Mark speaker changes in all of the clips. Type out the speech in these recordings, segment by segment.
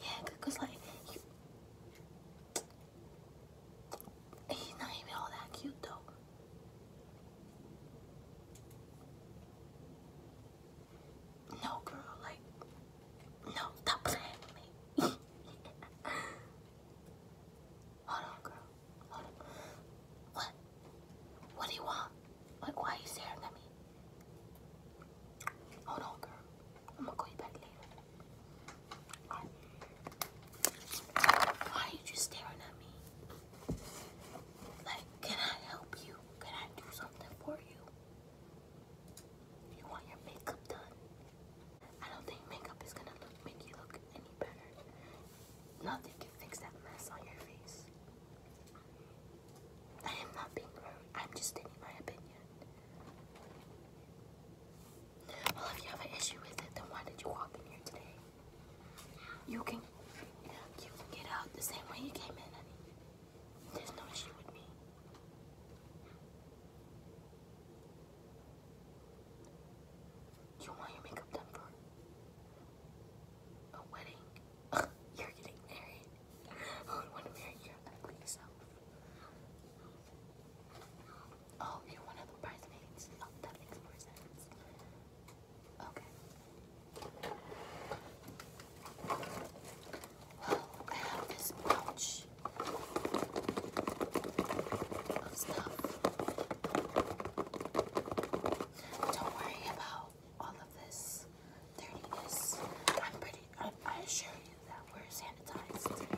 Speaker 1: Yeah, because like he's not even all that cute though. No girl, like no, stop playing Hold on, girl. What? What do you want? Like why you staring at me? Hold on, girl. I'm Why are you just staring at me? Like, can I help you? Can I do something for you? You want your makeup done? I don't think makeup is gonna look, make you look any better. Nothing can fix that mess on your face. I am not being rude. I'm just stating my opinion. Well, if you have an issue with it, then why did you walk in here today? You can, you can get out the same way you came in, honey. There's no issue with me. you want your makeup done for a wedding? You're getting married. Oh, oh, you're one of the bridesmaids. Oh, that makes more sense. Okay. Well, I have this pouch Don't worry about all of this I'm pretty, I, I assure you that we're sanitized.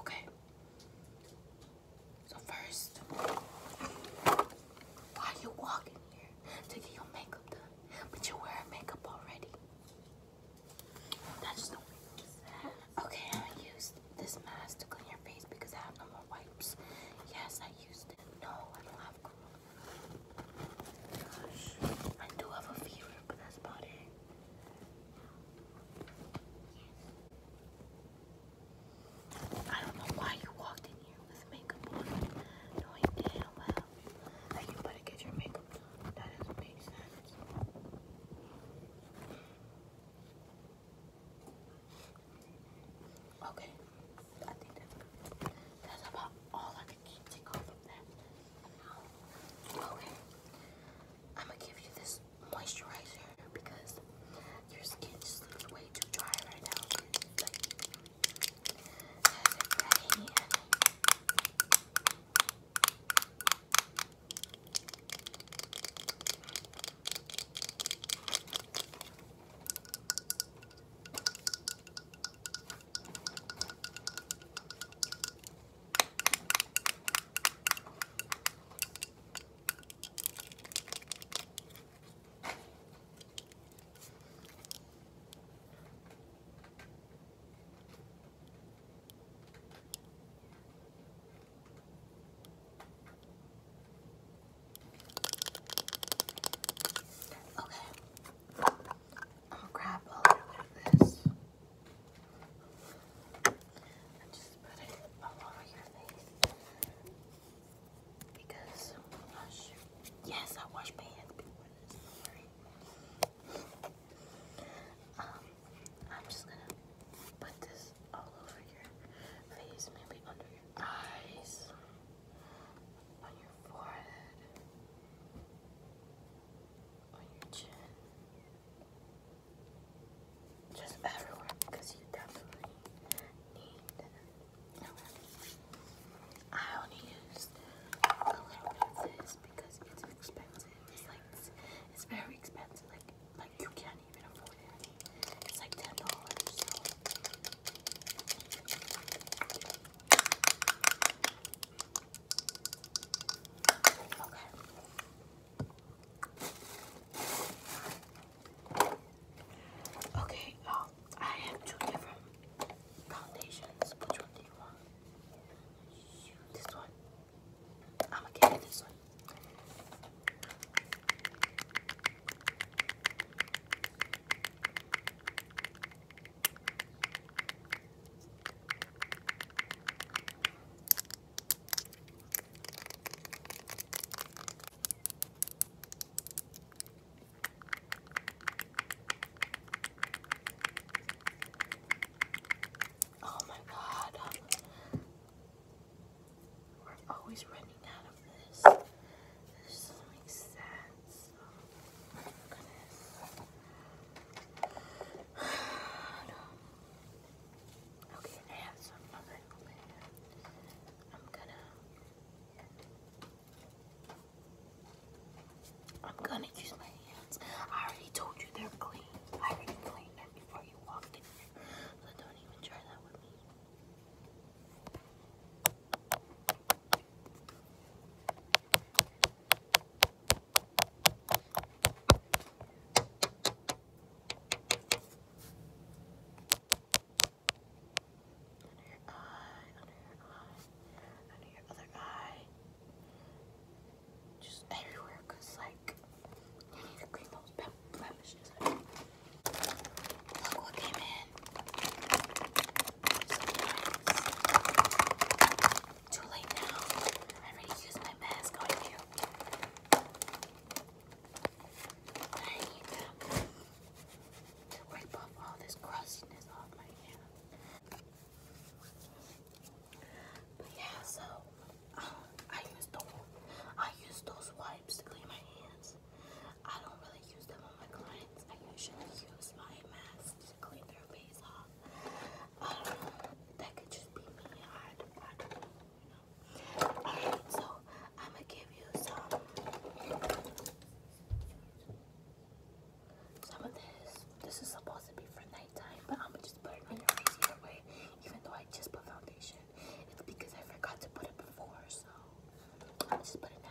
Speaker 1: Okay, so first, why are you walking here to get your makeup done? But you're makeup already. That just do Okay, I used this mask to clean your face because I have no more wipes. Yes, I used it. No, I don't I do have a fever, but that's about I don't know why you walked in here with makeup on, knowing damn well you better get your makeup done. That doesn't make sense. Okay, that's about all I can take off of that. Okay, I'm gonna give you this moisturizer because your skin just looks way too dry right now. Okay, I'm gonna grab a little bit of this. And just put it all over your face. Because, Yes, I wash my hands before this. Um, I'm just gonna put this all over your face, maybe under your eyes, on your forehead, on your chin. Just everywhere because you definitely need okay. I only use a because it's expensive. It's like it's, very expensive. Like like you can't even afford it. It's like ten dollars. Okay. Okay, um, I have two different foundations. Which one do you want? This one. i get this one. Oh my god. Um, we're always running out of this. This doesn't make sense. Oh Okay, I some of I'm gonna I'm gonna use my hands. I already told you they're clean. I already cleaned them before you walked in So don't even try that with me your eye, under your eye, under your other eye. Just everywhere, cause like you need to clean those blemishes. Look what came in. So nice. Too late now. I already used my mask on you. I need to, to off all this crustiness off my hair. But yeah, so uh, I use the I use those wipes to clean my hands. I don't really use them on my clients. I usually use my mask to clean their face off. I That could just be me. I, I don't know. You know. Alright, so I'm gonna give you some some of this. This is supposed to be for nighttime, but I'm gonna just put it on your face either way. Even though I just put foundation, it's because I forgot to put it before. So i just put it now.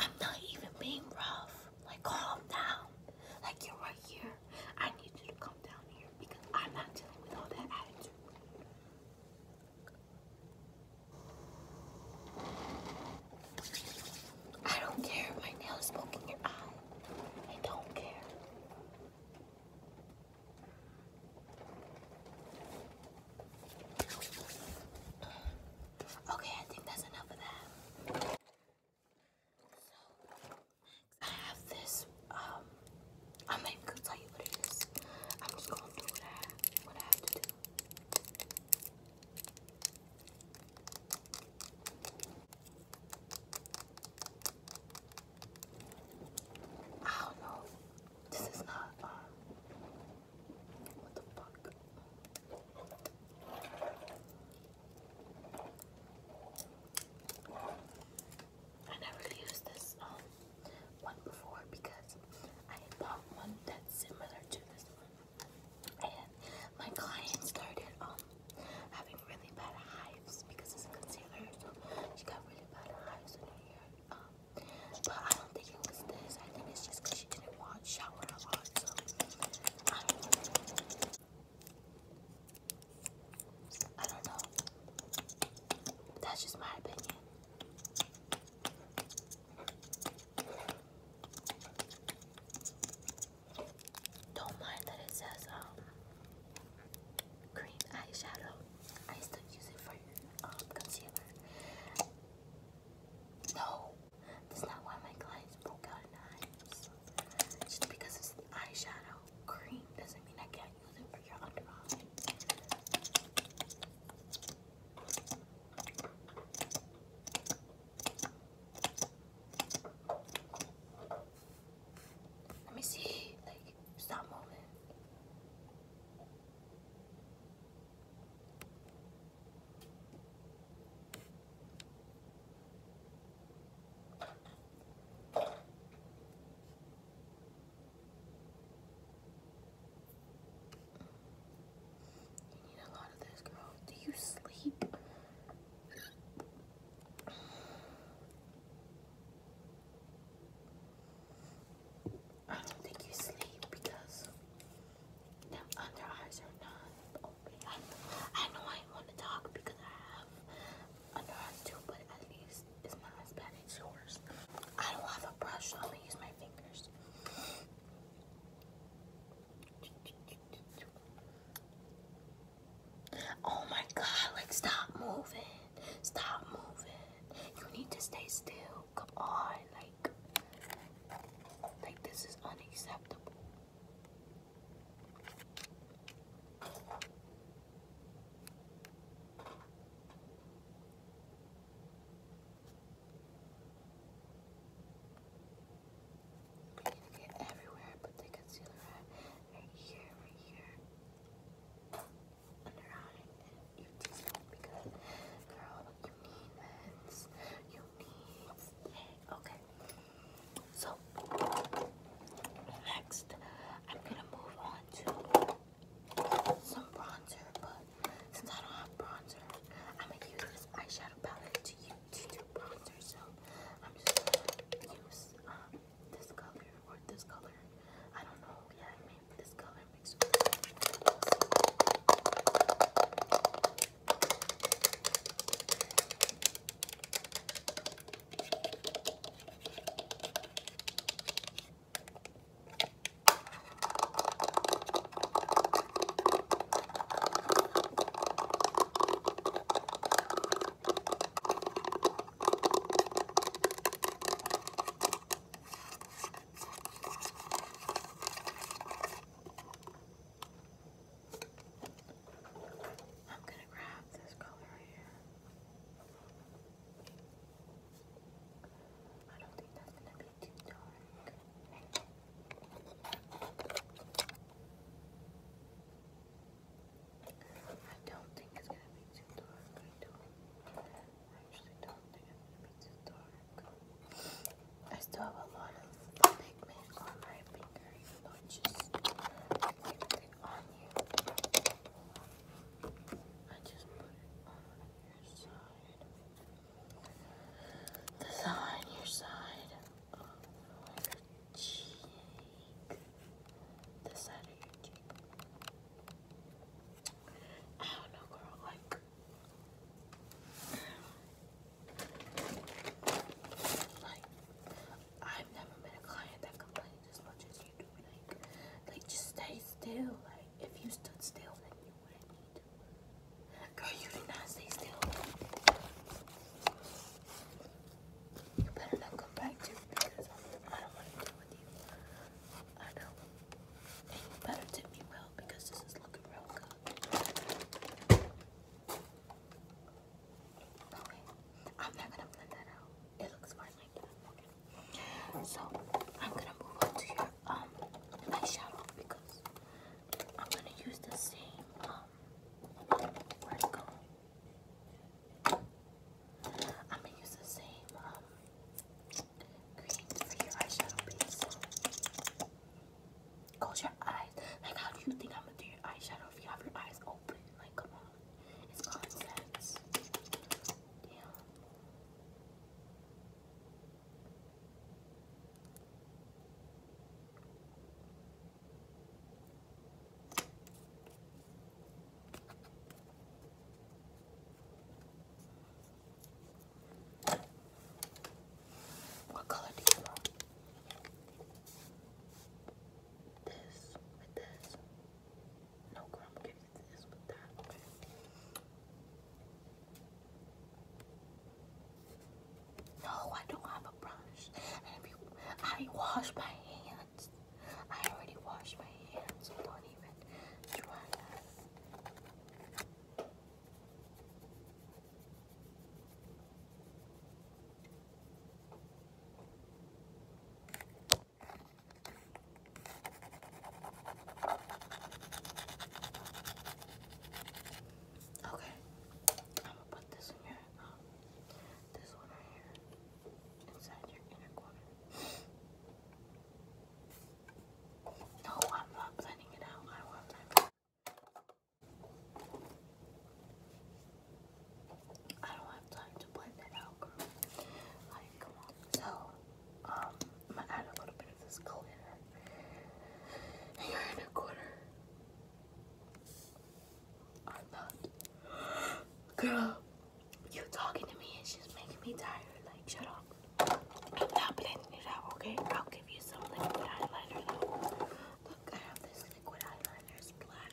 Speaker 1: I'm not even being rough. Like, calm down. Like, you're right here. I need you to come down here because I'm not dealing with all that attitude. I don't care if my nail is poking your eye. I don't care. Okay, I think that's enough of that. So, I have this um I'm not gonna tell you what it is. I'm just gonna do what I what I have to do. I don't know. This is not uh, what the fuck. I never used this um one before because I had bought one that's similar to this one, and my client started um having really bad hives because it's a concealer, so she got really bad hives in her hair. Um, but I don't think it was this. I think it's just because she didn't wash, shower a lot, so I do I don't know. That's just my opinion. Don't mind that it says um green eyeshadow. I still use it for um concealer. No, that's not why my clients broke out in eyes. Just because it's eyeshadow cream doesn't mean I can't use it for your under eye. Let me see, like, stop moving. You need a lot of this, girl. Do you sleep? I don't think you sleep because them under eyes are not open. I know I want to talk because I have I know but at least it's not as bad as yours. I don't have a brush, I only use my fingers. Oh my god, like stop moving. Stop moving. You need to stay still. Come on, like like this is unacceptable. Basically everywhere, but the concealer right here, right here. And around it, you just because, girl, you need this. You need Okay. So, Next, I'm gonna move on to some bronzer, but since I don't have bronzer, I'm gonna use this eyeshadow palette to use to do bronzer. So I'm just gonna use um, this color or this color. I don't know. Yeah, I mean this color mixed I'm going to grab this color right here. I don't think that's gonna be too dark. it's gonna be too dark. I don't. think it's gonna be too dark. I still have a lot of pigment on my finger, even though it's just anything on you. I just put it on your side. The your side of your cheek. The side of your cheek. I don't know, girl, like. I've never met a client that complains as much as you do. Like, like just stay still. Like, if you stood still, then you wouldn't need to. Girl, you did not stay still. You better not come back to me because I don't want to deal with you. I know. you better tip me well because this is looking real good. No I'm not gonna blend that out. It looks fine like that. So I'm gonna move on to your um eyeshadow because I'm gonna use the same um where it's going. I'm gonna use the same um green for your eyeshadow base. So close your eyes. Like how do you think I'm gonna do your eyeshadow if you have your eyes open? Like come on. What color do you want? this with this. No, girl, i give you this with that, No, I don't have a brush. I wash my hands. I already washed my hands, don't even try that. Okay, I'm gonna put this in here. Um, this one right here inside your inner corner. No, I'm not blending it out. I don't have time to blend that out, girl. Like, come on. So, um, I'm gonna add a little bit of this glitter here in a corner. I'm not. Girl, you talking to me is just making me tired. Like, shut up. I'm not blending it out, okay? I'll give you some liquid highlighter though. Look, I have this liquid eyeliner is black.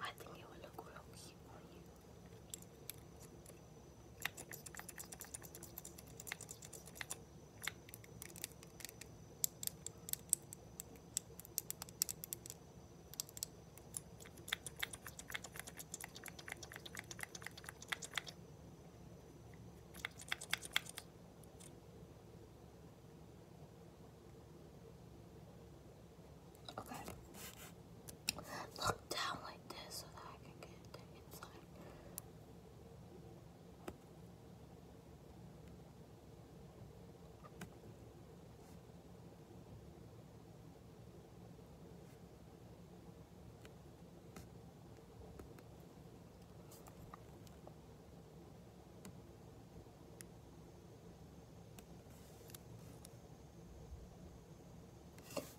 Speaker 1: I think it would look real cute on you. Okay. Look down like this so that I can get inside.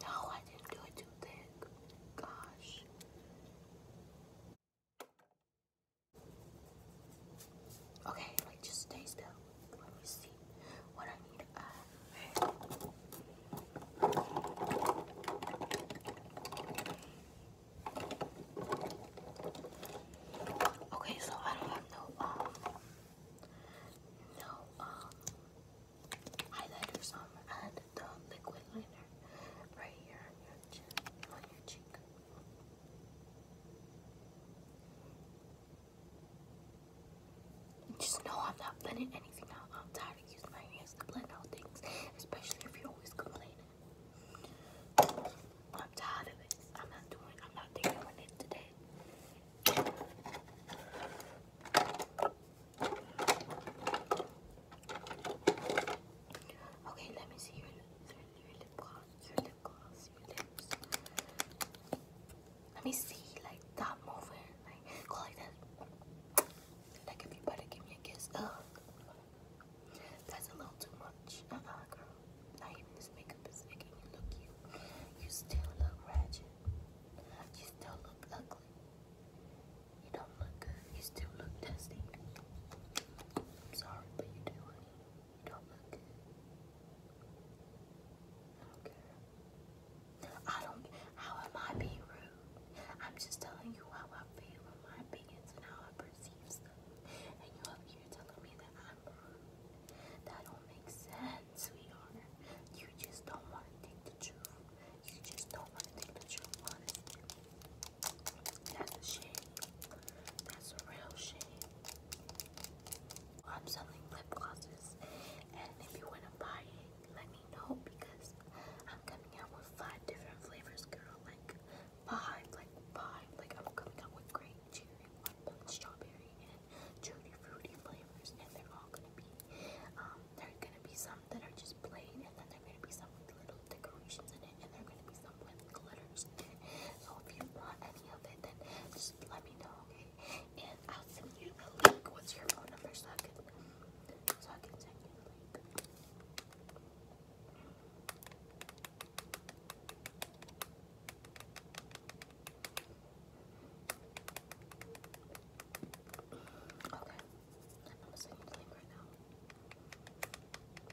Speaker 1: No, I didn't do it too thick. Gosh. Okay, like just stay still. Let me see what I need. Uh, Okay, so I don't have no um no um highlighters on. I had the liquid liner right here on your cheek. Just know I'm not blending anything out. I'm tired of using my hands to blend out things, especially if you're always complaining. I'm tired of it. I'm not doing I'm not doing it today. Okay, let me see your your lip gloss, your lip gloss, Let me see, like, stop moving, like, like that. give me a kiss, ugh. That's a little too much. uh girl. Not even this makeup is making you look cute. You still look ratchet. You still look ugly. You don't look good. You still look dusty. I'm sorry, but you do, honey. You don't look I don't. How am I being rude? I'm just telling you how I feel, and my opinions, and how I perceive stuff. And you up here telling me that I'm wrong. That don't make sense, sweetheart. You just don't want to take the truth. You just don't want to take the truth, honestly. That's a shame. That's a real shame. I'm selling lip glosses. And if you want to buy it, let me know because I'm coming out with five different flavors, girl. Like, behind like five like I'm coming up with great cherry, watermelon, strawberry, and tutti fruity flavors, and they're all gonna be um there are gonna be some that are just plain, and then there are gonna be some with little decorations in it, and there are gonna be some with glitters in it. So if you want any of it, then just let me know, okay? And I'll send you the link. What's your phone number so I can so I can send you the link? Okay, you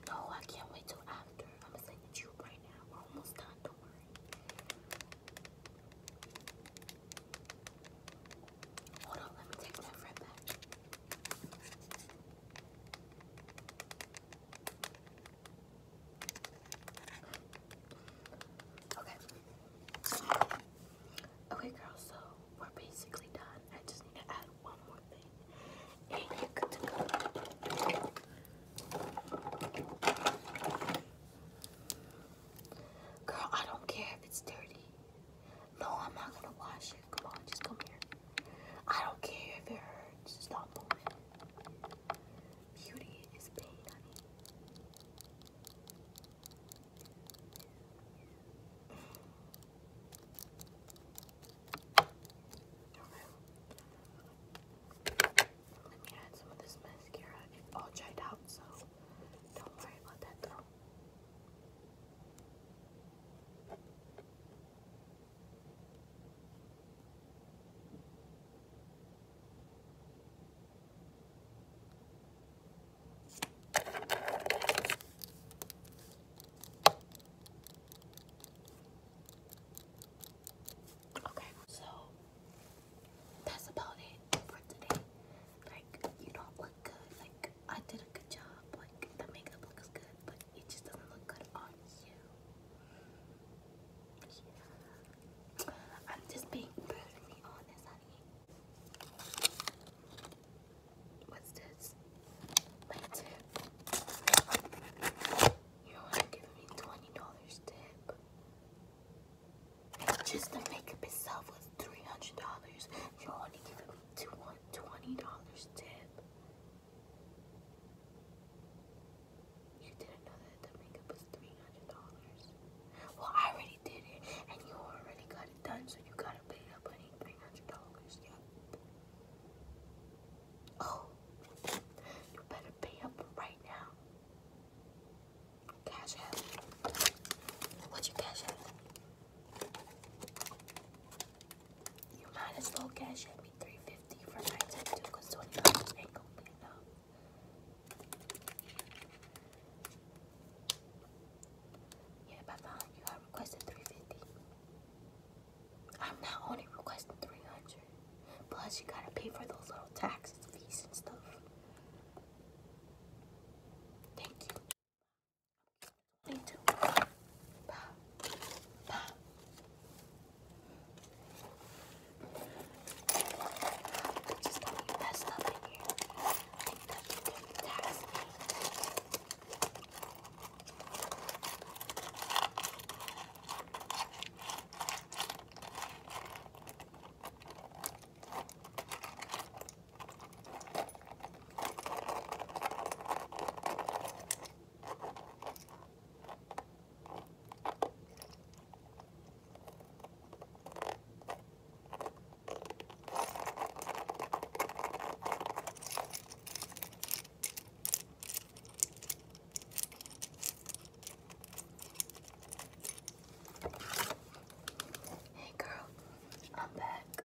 Speaker 1: No, I can't wait till after. I'm gonna send you right now. We're almost done, don't worry. Hold on, let me take that right back. Okay. Okay, girls, so we're basically done. I just need to add one more thing. And you're good to go. Girl, I don't care if it's dirty. No, I'm not gonna wash Come on, just come here. I don't care if it hurts. Stop moving. Beauty is pain, Let me add some of this mascara. It's all dried out, so don't worry about that though. Okay, so that's about it for today. Like, you don't look good. Like, I did a good job. Like the makeup looks good, but it just doesn't look good on you. I'm just being brutally honest, honey. What's this? My You want to give me twenty dollars tip? Just the makeup itself was three hundred dollars. You only give to one twenty dollars tip. You didn't know that the makeup was three hundred dollars. Well, I already did it, and you already got it done, so you gotta pay that money three hundred dollars. Yep. Oh, you better pay up right now. Cash out. What's your cash out? You might as well cash in me 350 for my tattoo because 20 ain't gonna be enough. Yeah, by following you, I requested 350. I'm not only requesting 300, plus you gotta pay for those little taxes, fees, and stuff. Thank you. This is the best stuff in here. I think that you can tax me. Hey girl, I'm back.